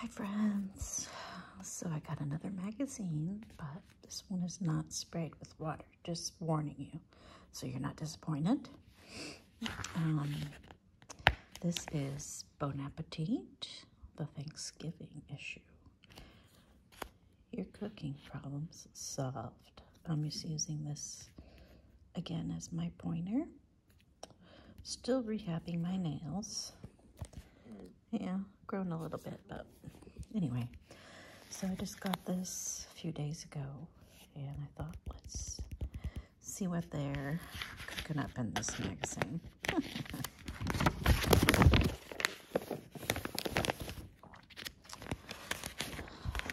Hi friends. So I got another magazine, but this one is not sprayed with water, just warning you. So you're not disappointed. Um, this is Bon Appetit, the Thanksgiving issue. Your cooking problems solved. I'm just using this again as my pointer. Still rehabbing my nails. Yeah, grown a little bit, but anyway. So I just got this a few days ago, and I thought, let's see what they're cooking up in this magazine.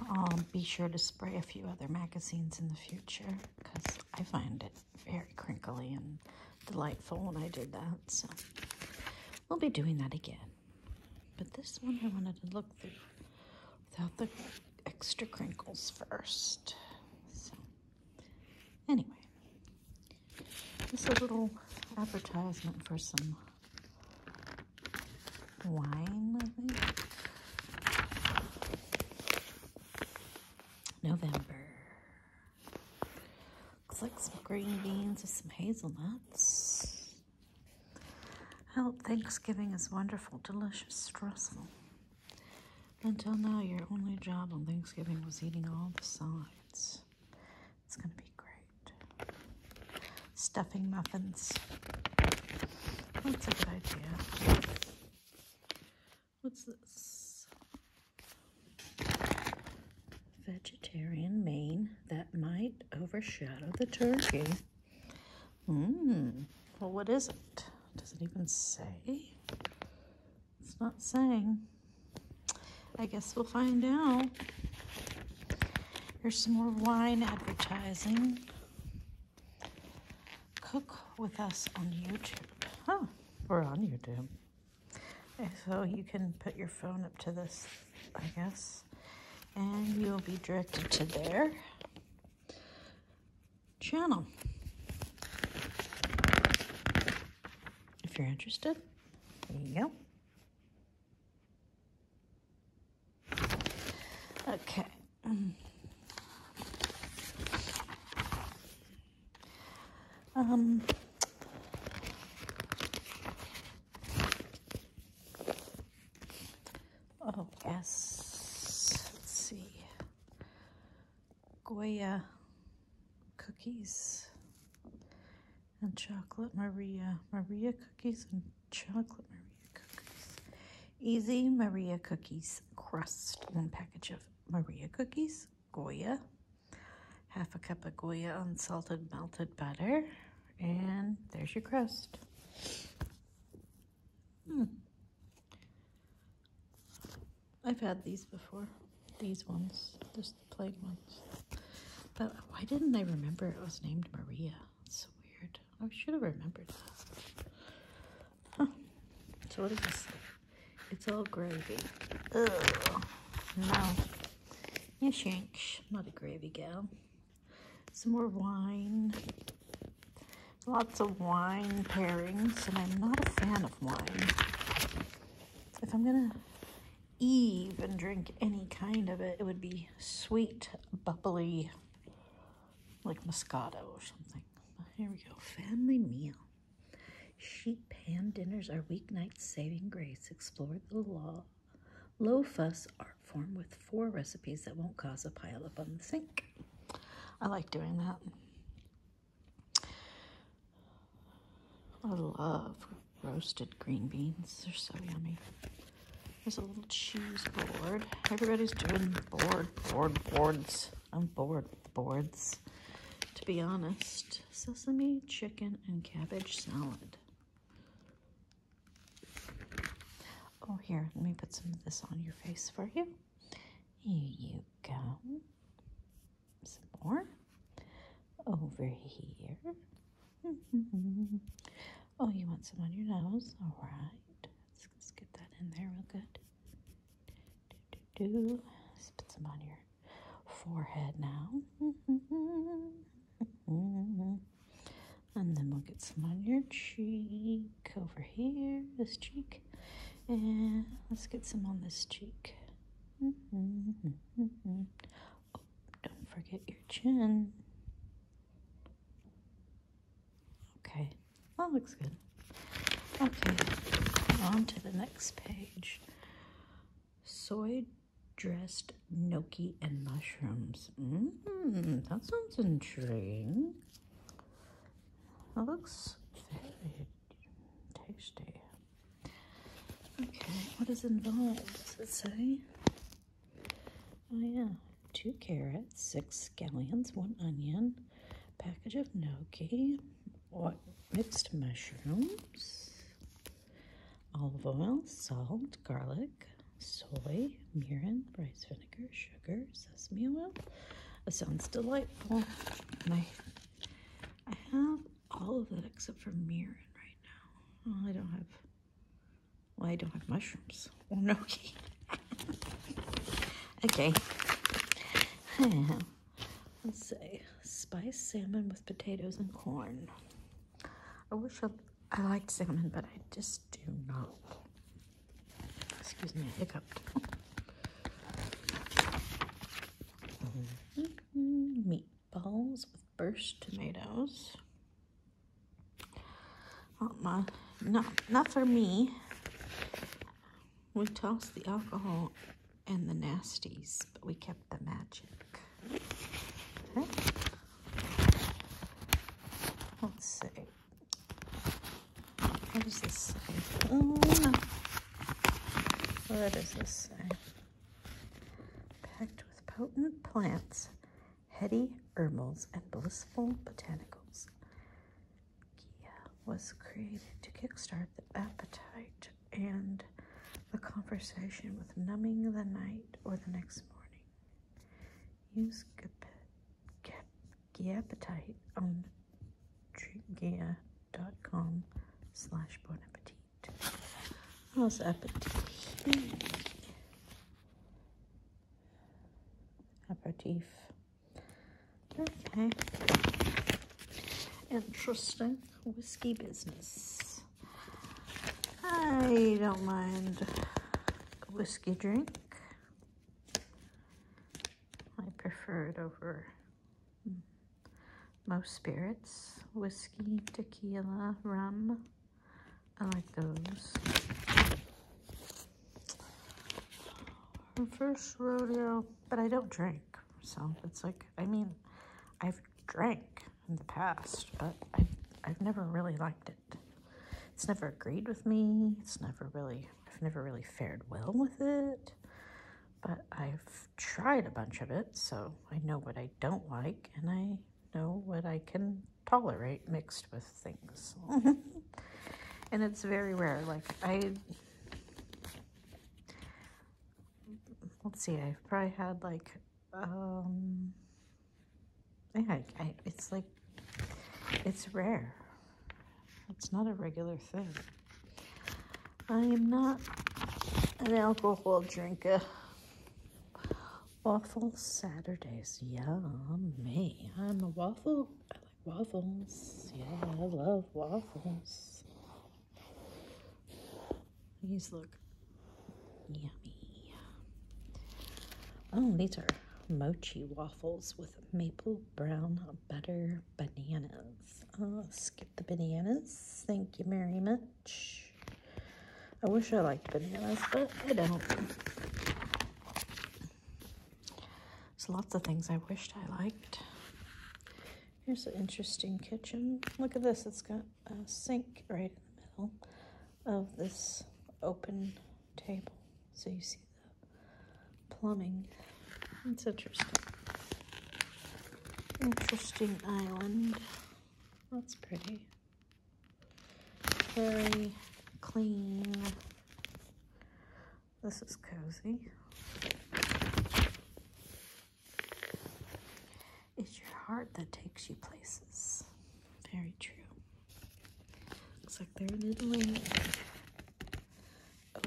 I'll be sure to spray a few other magazines in the future because I find it very crinkly and delightful when I did that. So we'll be doing that again. But this one I wanted to look through without the extra crinkles first. So anyway, just a little advertisement for some wine, I think. November. Looks like some green beans with some hazelnuts. I hope Thanksgiving is wonderful, delicious, stressful. Until now, your only job on Thanksgiving was eating all the sides. It's going to be great. Stuffing muffins. That's a good idea. What's this? Vegetarian main that might overshadow the turkey. Mmm. Well, what is it? Does it even say? It's not saying. I guess we'll find out. Here's some more wine advertising cook with us on YouTube. Huh, we're on YouTube. So you can put your phone up to this, I guess, and you'll be directed to their channel. If you're interested, there you go. Okay. Um, oh, yes. Let's see. Goya cookies and chocolate Maria. Maria cookies and chocolate Maria cookies. Easy Maria cookies crust. One package of Maria cookies. Goya, half a cup of Goya unsalted melted butter, and there's your crust. Hmm. I've had these before, these ones, just plain ones. But why didn't I remember it was named Maria? It's so weird. I should have remembered that. Huh. So what is this? It's all gravy. Oh No. Yes, yanks. not a gravy gal. Some more wine. Lots of wine pairings, and I'm not a fan of wine. If I'm gonna even drink any kind of it, it would be sweet, bubbly, like Moscato or something. here we go, family meal. Sheet pan dinners are weeknight saving grace. Explore the law. Low fuss art form with four recipes that won't cause a pile up on the sink. I like doing that. I love roasted green beans. They're so yummy. There's a little cheese board. Everybody's doing board, board, boards. I'm bored boards, to be honest. Sesame, chicken, and cabbage salad. Oh, here, let me put some of this on your face for you. Here you go. Some more. Over here. oh, you want some on your nose? All right. get that in there real good. Do, do, do. Let's put some on your forehead now. and then we'll get some on your cheek over here, this cheek. And let's get some on this cheek. Oh, don't forget your chin. Okay, that looks good. Okay, on to the next page. Soy dressed gnocchi and mushrooms. Mmm, that sounds intriguing. That looks very tasty. Okay, what is involved? Does it say? Oh yeah, two carrots, six scallions, one onion, package of gnocchi, what mixed mushrooms, olive oil, salt, garlic, soy, mirin, rice vinegar, sugar, sesame oil. That sounds delightful. My, I have all of that except for mirin right now. I don't have, well, I don't have mushrooms or oh, okay. I have Let's see. Spiced salmon with potatoes and corn. I wish I, liked salmon, but I just do not. Excuse me, I hiccuped. Mm-hmm. Meatballs with burst tomatoes. Not oh, my, not, not for me. We tossed the alcohol and the nasties, but we kept the magic. Okay. Let's see. What is this say? Mm. this Packed with potent plants, heady herbals, and blissful botanicals. Kia was created to kickstart the appetite and the conversation with numbing the night or the next morning. Use Giapatite on Giga.com slash Bon Appetit. How's Appetit? Aperitif. Okay. Interesting. Whiskey business. I don't mind a whiskey drink. I prefer it over most spirits. Whiskey, tequila, rum. I like those. Our first rodeo, but I don't drink. So it's like, I mean, I've drank in the past, but i I've never really liked it. It's never agreed with me. It's never really, I've never really fared well with it. But I've tried a bunch of it, so I know what I don't like, and I know what I can tolerate mixed with things. and it's very rare. Like, I let's see, I've probably had like, um, yeah, I, I, it's like, it's rare. It's not a regular thing. I am not an alcohol drinker. Waffle Saturdays, yummy. I'm a waffle. I like waffles. Yeah, I love waffles. These look yummy. Oh, these are mochi waffles with maple brown butter bananas. Oh, skip the bananas. Thank you very much. I wish I liked bananas, but I don't. There's lots of things I wished I liked. Here's an interesting kitchen. Look at this, it's got a sink right in the middle of this open table. So you see the plumbing. It's interesting. Interesting island. That's pretty. Very clean. This is cozy. It's your heart that takes you places. Very true. Looks like they're doing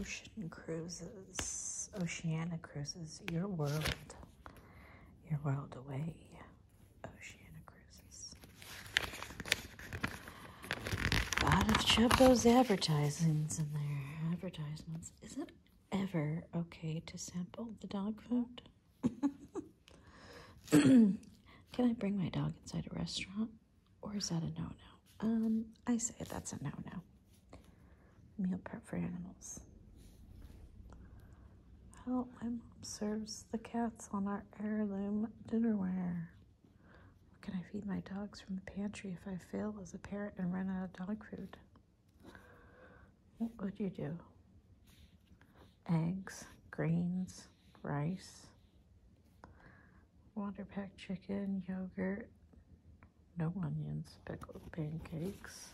Ocean cruises. Oceana cruises. Your world. Your world away. Oceana cruises. A lot of Chubbo's advertisings in there. Advertisements. Is it ever okay to sample the dog food? Can I bring my dog inside a restaurant? Or is that a no no? Um, I say that's a no no. Meal prep for animals. Well, my mom serves the cats on our heirloom dinnerware. Can I feed my dogs from the pantry if I fail as a parent and run out of dog food? What would you do? Eggs, greens, rice, water packed chicken, yogurt, no onions, pickled pancakes.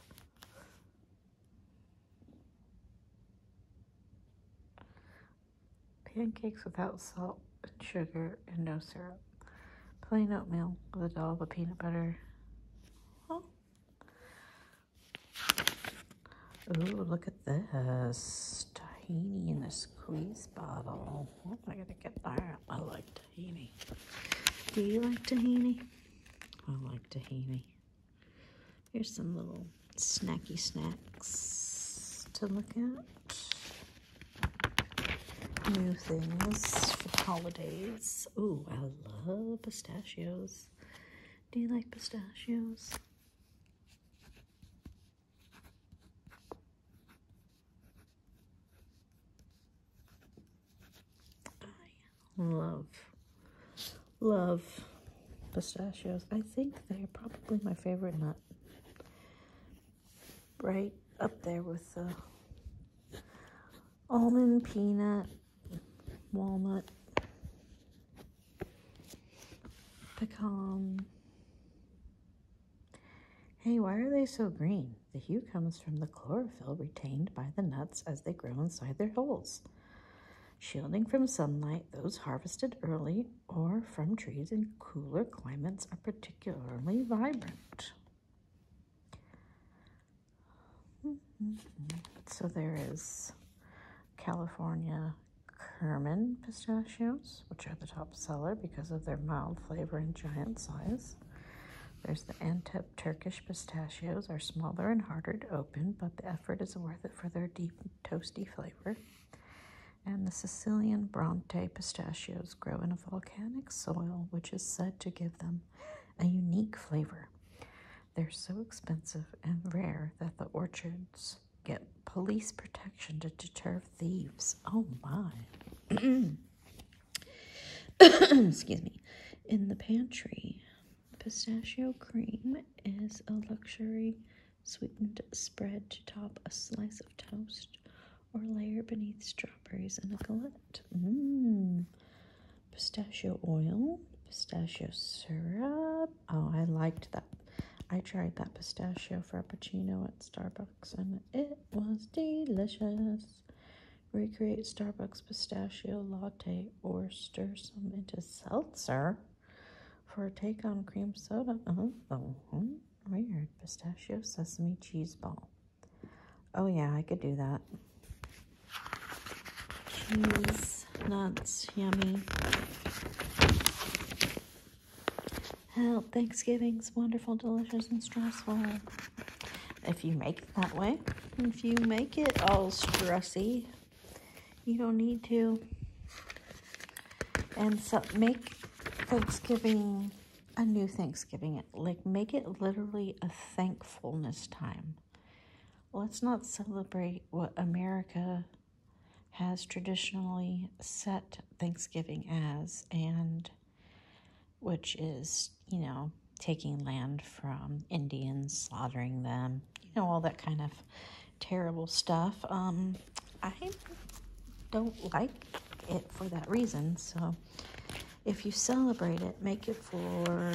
Pancakes without salt and sugar and no syrup. Plain oatmeal with a dollop of peanut butter oh! look at this. Tahini in a squeeze bottle. What am I going to get there? I like tahini. Do you like tahini? I like tahini. Here's some little snacky snacks to look at. New things for holidays. Ooh, I love pistachios. Do you like pistachios? I love, love pistachios. I think they're probably my favorite nut. Right up there with the almond, peanut, walnut, pecan. Hey, why are they so green? The hue comes from the chlorophyll retained by the nuts as they grow inside their holes. Shielding from sunlight, those harvested early or from trees in cooler climates are particularly vibrant. So there is California Kerman pistachios, which are the top seller because of their mild flavor and giant size. There's the Antep Turkish pistachios are smaller and harder to open, but the effort is worth it for their deep toasty flavor. And the Sicilian Bronte pistachios grow in a volcanic soil, which is said to give them a unique flavor. They're so expensive and rare that the orchards get police protection to deter thieves. Oh my. Excuse me. In the pantry, pistachio cream is a luxury sweetened spread to top a slice of toast or layer beneath strawberries in a galette. Mmm pistachio oil, pistachio syrup. Oh, I liked that. I tried that pistachio frappuccino at Starbucks and it was delicious. Recreate Starbucks pistachio latte or stir some into seltzer for a take on cream soda. Uh -huh. Oh, hmm. Weird. Pistachio sesame cheese ball. Oh yeah, I could do that. Cheese, nuts, yummy. Hell, Thanksgiving's wonderful, delicious, and stressful. If you make it that way. If you make it all stressy, you don't need to. And so make Thanksgiving a new Thanksgiving. Like make it literally a thankfulness time. Let's not celebrate what America has traditionally set Thanksgiving as, and which is, you know, taking land from Indians, slaughtering them, you know, all that kind of terrible stuff. Um, I don't like it for that reason. So if you celebrate it, make it for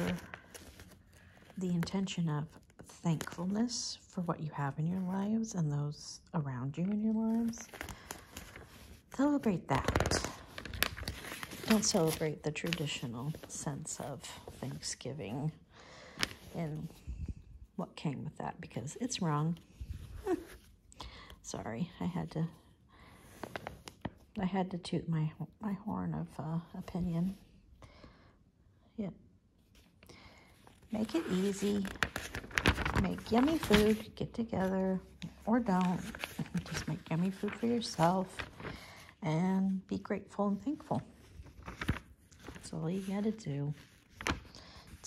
the intention of thankfulness for what you have in your lives and those around you in your lives. Celebrate that. Don't celebrate the traditional sense of Thanksgiving and what came with that because it's wrong. Sorry, I had to I had to toot my, my horn of uh, opinion. Yep. Make it easy. Make yummy food. Get together or don't. Just make yummy food for yourself and be grateful and thankful. That's all you got to do.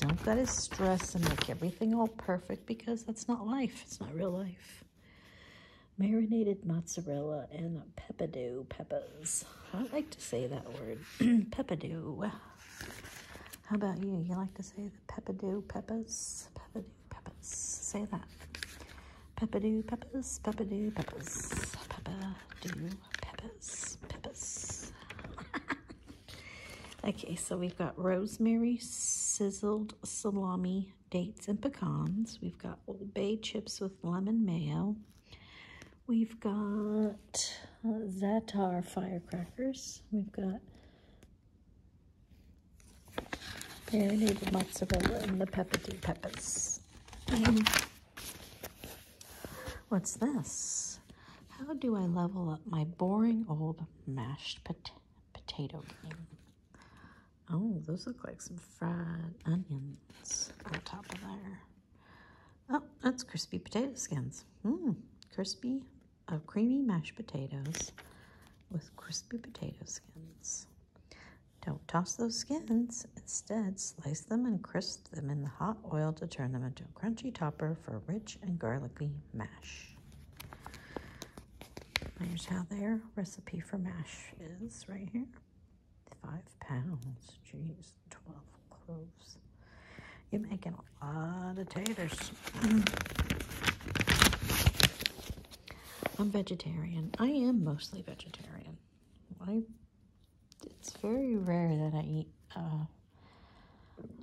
Don't let it stress and make everything all perfect because that's not life. It's not real life marinated mozzarella and pepado peppers. I like to say that word, pepado. How about you? You like to say the pepado peppers? Pepado peppers. Say that. Pepado peppers, pepado peppers, pepado peppers, peppers. okay, so we've got rosemary sizzled salami dates and pecans. We've got Old Bay chips with lemon mayo. We've got uh, Zatar firecrackers. We've got marinated mozzarella and the pepperdi peppers. what's this? How do I level up my boring old mashed potato game? Oh, those look like some fried onions on top of there. Oh, that's crispy potato skins. Mmm, crispy, of uh, creamy mashed potatoes with crispy potato skins. Don't toss those skins. Instead, slice them and crisp them in the hot oil to turn them into a crunchy topper for rich and garlicky mash. Here's how their recipe for mash is right here. Five pounds. Jeez, 12 cloves. You're making a lot of taters. I'm vegetarian. I am mostly vegetarian. I it's very rare that I eat uh,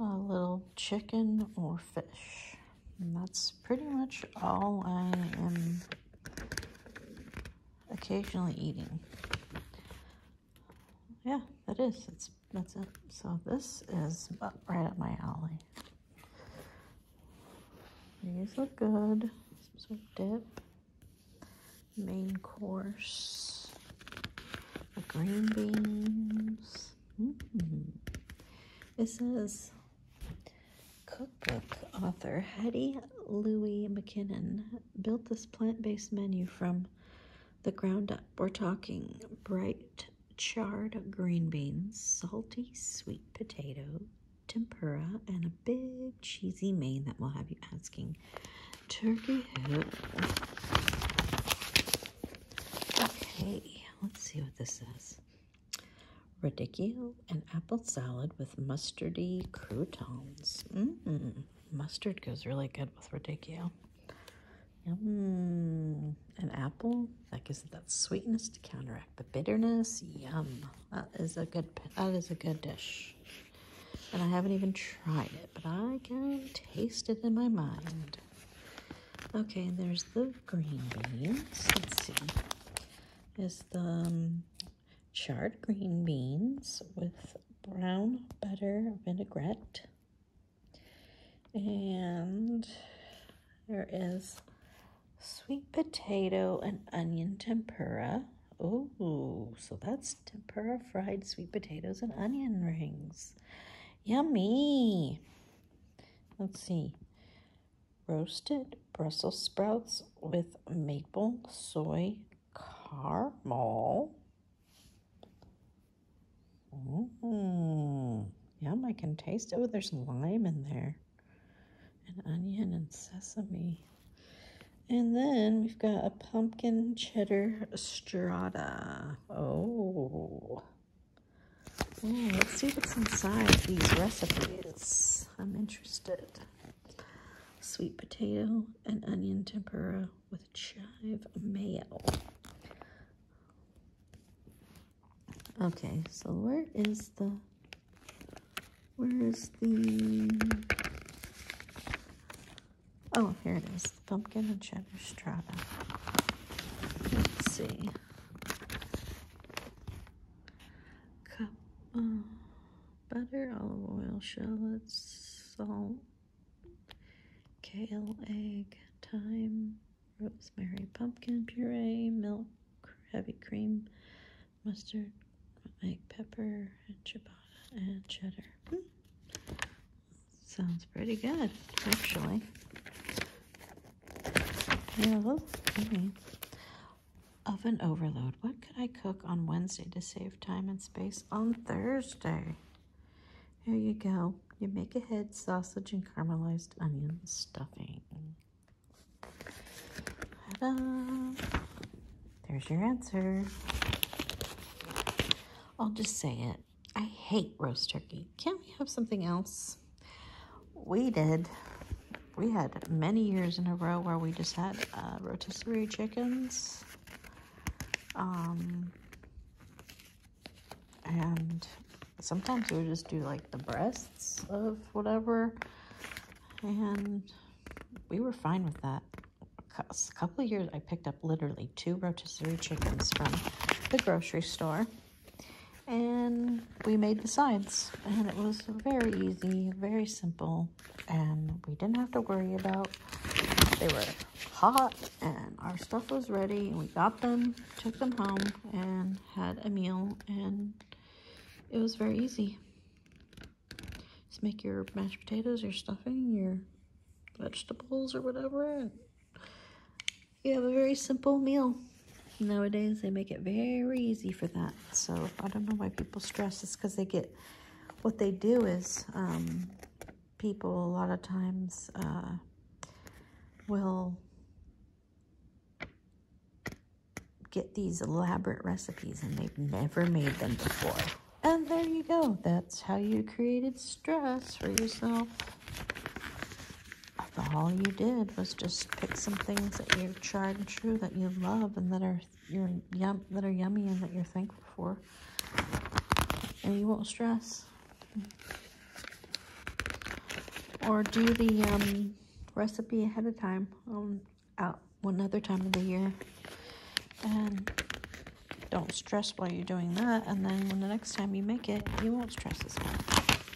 a little chicken or fish. And that's pretty much all I am occasionally eating. Yeah, that is. That's, that's it. So this is right up my alley. These look good. Some sort of dip. Main course. green beans. Mm -hmm. It says Cookbook author Hetty Louie McKinnon built this plant-based menu from the ground up. We're talking bright charred green beans, salty sweet potato, tempura, and a big cheesy main that will have you asking turkey who. Okay, let's see what this is radicchio and apple salad with mustardy croutons. Mm -mm. Mustard goes really good with radicchio. Yum. An apple, that gives it that sweetness to counteract the bitterness. Yum. That is a good, that is a good dish. And I haven't even tried it, but I can taste it in my mind. Okay, there's the green beans. Let's see. Is the um, charred green beans with brown butter vinaigrette. And there is sweet potato and onion tempura. Oh, so that's tempura fried sweet potatoes and onion rings. Yummy. Let's see roasted Brussels sprouts with maple soy caramel. Mmm, yum, I can taste it. Oh, there's lime in there and onion and sesame. And then we've got a pumpkin cheddar strata. Oh. Ooh, let's see what's inside these recipes. I'm interested sweet potato and onion tempura with chive mayo. Okay, so where is the, where is the, oh, here it is, pumpkin and cheddar strata. Let's see. Cup, uh, butter, olive oil, shallots, salt, kale, egg, thyme, rosemary, pumpkin puree, milk, heavy cream, mustard, egg, pepper, and ciabatta, and cheddar. Hmm. Sounds pretty good, actually. Yeah, well, Oven overload. What could I cook on Wednesday to save time and space on Thursday? Here you go. You make ahead sausage and caramelized onion stuffing. There's your answer. I'll just say it. I hate roast turkey. Can't we have something else? We did we had many years in a row where we just had uh, rotisserie chickens. Um, and sometimes we would just do like the breasts of whatever. And we were fine with that. Cause A couple of years, I picked up literally two rotisserie chickens from the grocery store. And we made the sides. And it was very easy, very simple and we didn't have to worry about. They were hot and our stuff was ready and we got them, took them home and had a meal and it was very easy. Just make your mashed potatoes, your stuffing, your vegetables or whatever. You have a very simple meal. Nowadays, they make it very easy for that. So I don't know why people stress. It's because they get what they do is um, people a lot of times uh, will get these elaborate recipes and they've never made them before. And there you go. That's how you created stress for yourself. All you did was just pick some things that you're tried and true that you love and that are you yum that are yummy and that you're thankful for, and you won't stress. Or do the um, recipe ahead of time um, out one other time of the year, and don't stress while you're doing that. And then when the next time you make it, you won't stress as much.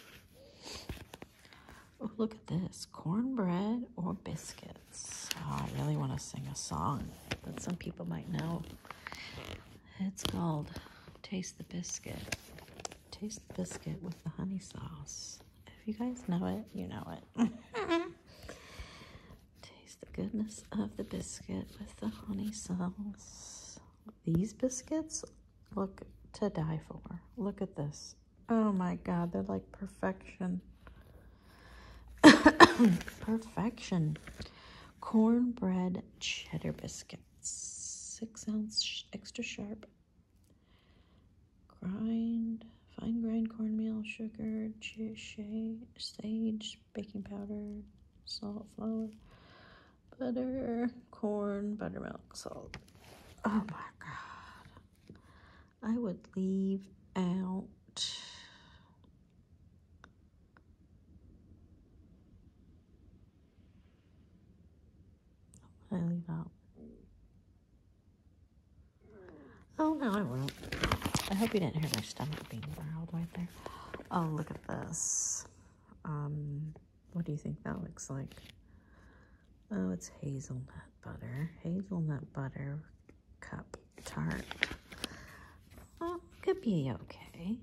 Oh, look at this. Cornbread or biscuits. Oh, I really want to sing a song that some people might know. It's called Taste the Biscuit. Taste the biscuit with the honey sauce. If you guys know it, you know it. Taste the goodness of the biscuit with the honey sauce. These biscuits look to die for. Look at this. Oh my God, they're like perfection. perfection. Cornbread cheddar biscuits. Six ounce extra sharp. Grind, fine grind cornmeal, sugar, sage, baking powder, salt, flour, butter, corn, buttermilk, salt. Oh my God. I would leave out I leave out? Oh, no, I won't. I hope you didn't hear my stomach being growled right there. Oh, look at this. Um, what do you think that looks like? Oh, it's hazelnut butter. Hazelnut butter cup tart. could be okay.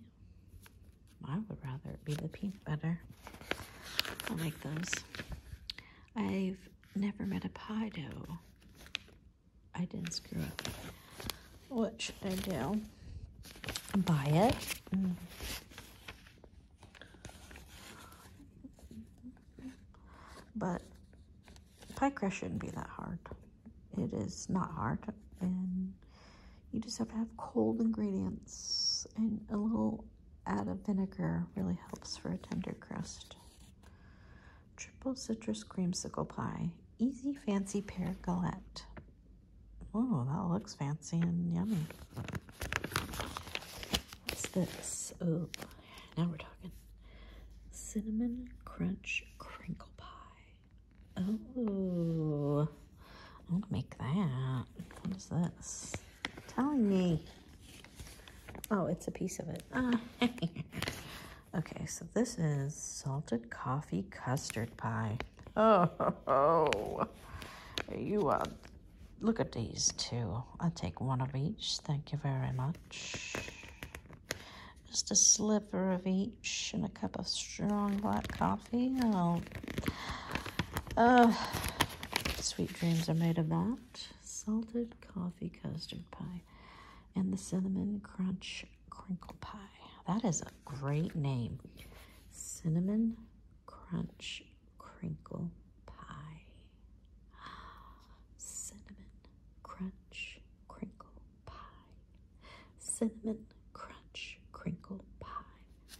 I would rather be the peanut butter. I like those. I've never met a pie dough. I didn't screw up. What should I do? Buy it. Mm. But Pie crust shouldn't be that hard. It is not hard, and you just have to have cold ingredients, and a little add of vinegar really helps for a tender crust. Triple citrus creamsicle pie. Easy fancy pear galette. Oh, that looks fancy and yummy. What's this? Oh, now we're talking. Cinnamon Crunch Crinkle Pie. Oh, I'll make that. What is this? telling me. Oh, it's a piece of it. okay, so this is salted coffee custard pie. Oh, you are. Uh, look at these two. I'll take one of each. Thank you very much. Just a slipper of each and a cup of strong black coffee. Oh, uh, sweet dreams are made of that. Salted coffee custard pie and the cinnamon crunch crinkle pie. That is a great name. Cinnamon crunch crinkle pie cinnamon crunch crinkle pie, cinnamon crunch crinkle pie,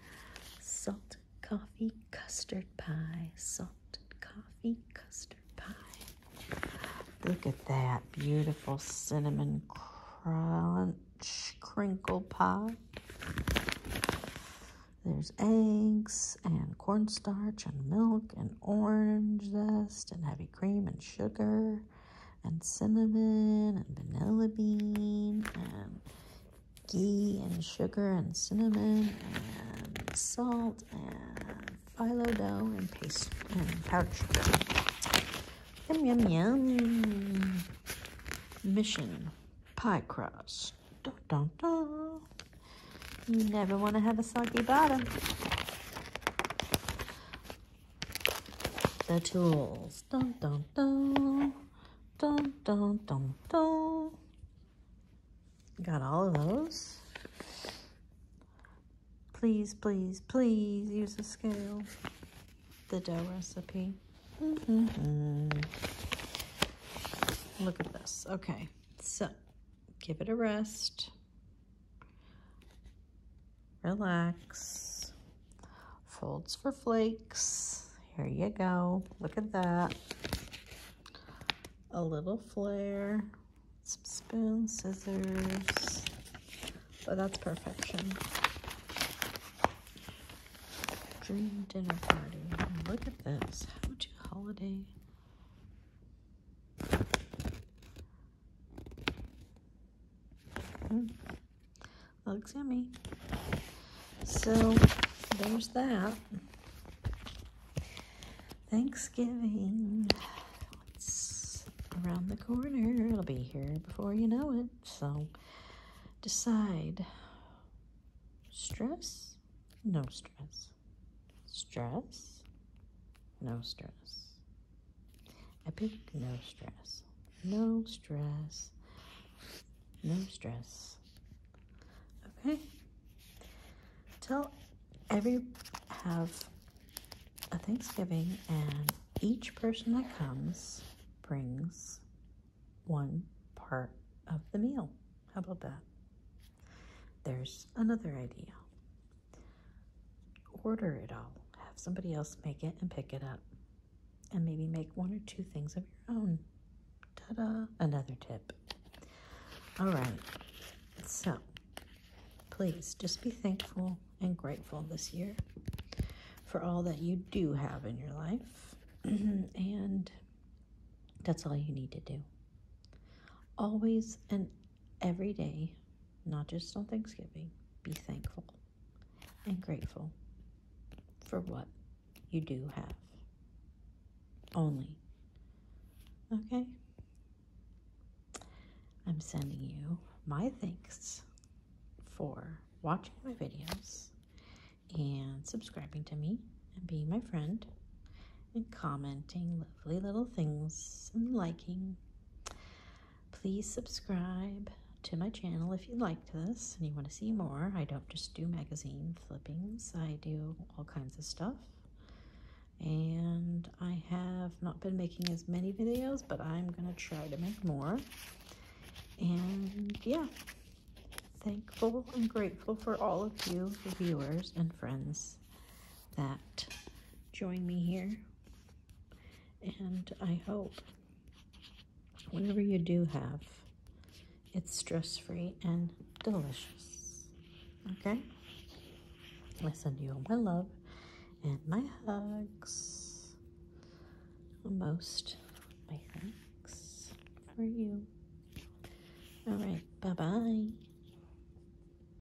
salted coffee custard pie, salted coffee custard pie. Look at that beautiful cinnamon crunch crinkle pie. There's eggs and cornstarch and milk and orange zest and heavy cream and sugar and cinnamon and vanilla bean and ghee and sugar and cinnamon and salt and phyllo dough and paste and pouch. Yum, yum, yum. Mission pie crust. Dun, dun, dun. You never want to have a soggy bottom. The tools. dum dum dum, dum dum dum dum. Got all of those. Please, please, please use a scale. The dough recipe. -hmm. Look at this. Okay, so give it a rest relax, folds for flakes. Here you go. Look at that. A little flare, some spoon, scissors. But that's perfection. Dream dinner party. Look at this. How to holiday Hmm. Looks yummy. So there's that. Thanksgiving. It's around the corner. It'll be here before you know it. So decide stress? No stress. Stress, no stress. I pick no stress. No stress. No stress. Okay. Tell every have a Thanksgiving and each person that comes brings one part of the meal. How about that? There's another idea. Order it all. Have somebody else make it and pick it up. And maybe make one or two things of your own. Ta da! Another tip. All right. So, please just be thankful and grateful this year for all that you do have in your life. and that's all you need to do. Always and every day, not just on Thanksgiving, be thankful and grateful for what you do have. Only. Okay? I'm sending you my thanks for watching my videos and subscribing to me and being my friend and commenting lovely little things and liking. Please subscribe to my channel if you liked this and you want to see more. I don't just do magazine flippings. I do all kinds of stuff. And I have not been making as many videos, but I'm going to try to make more. And yeah, thankful and grateful for all of you, viewers and friends that join me here. And I hope whatever you do have, it's stress-free and delicious. Okay? I send you all my love and my hugs. Most thanks for you. All right. Bye-bye.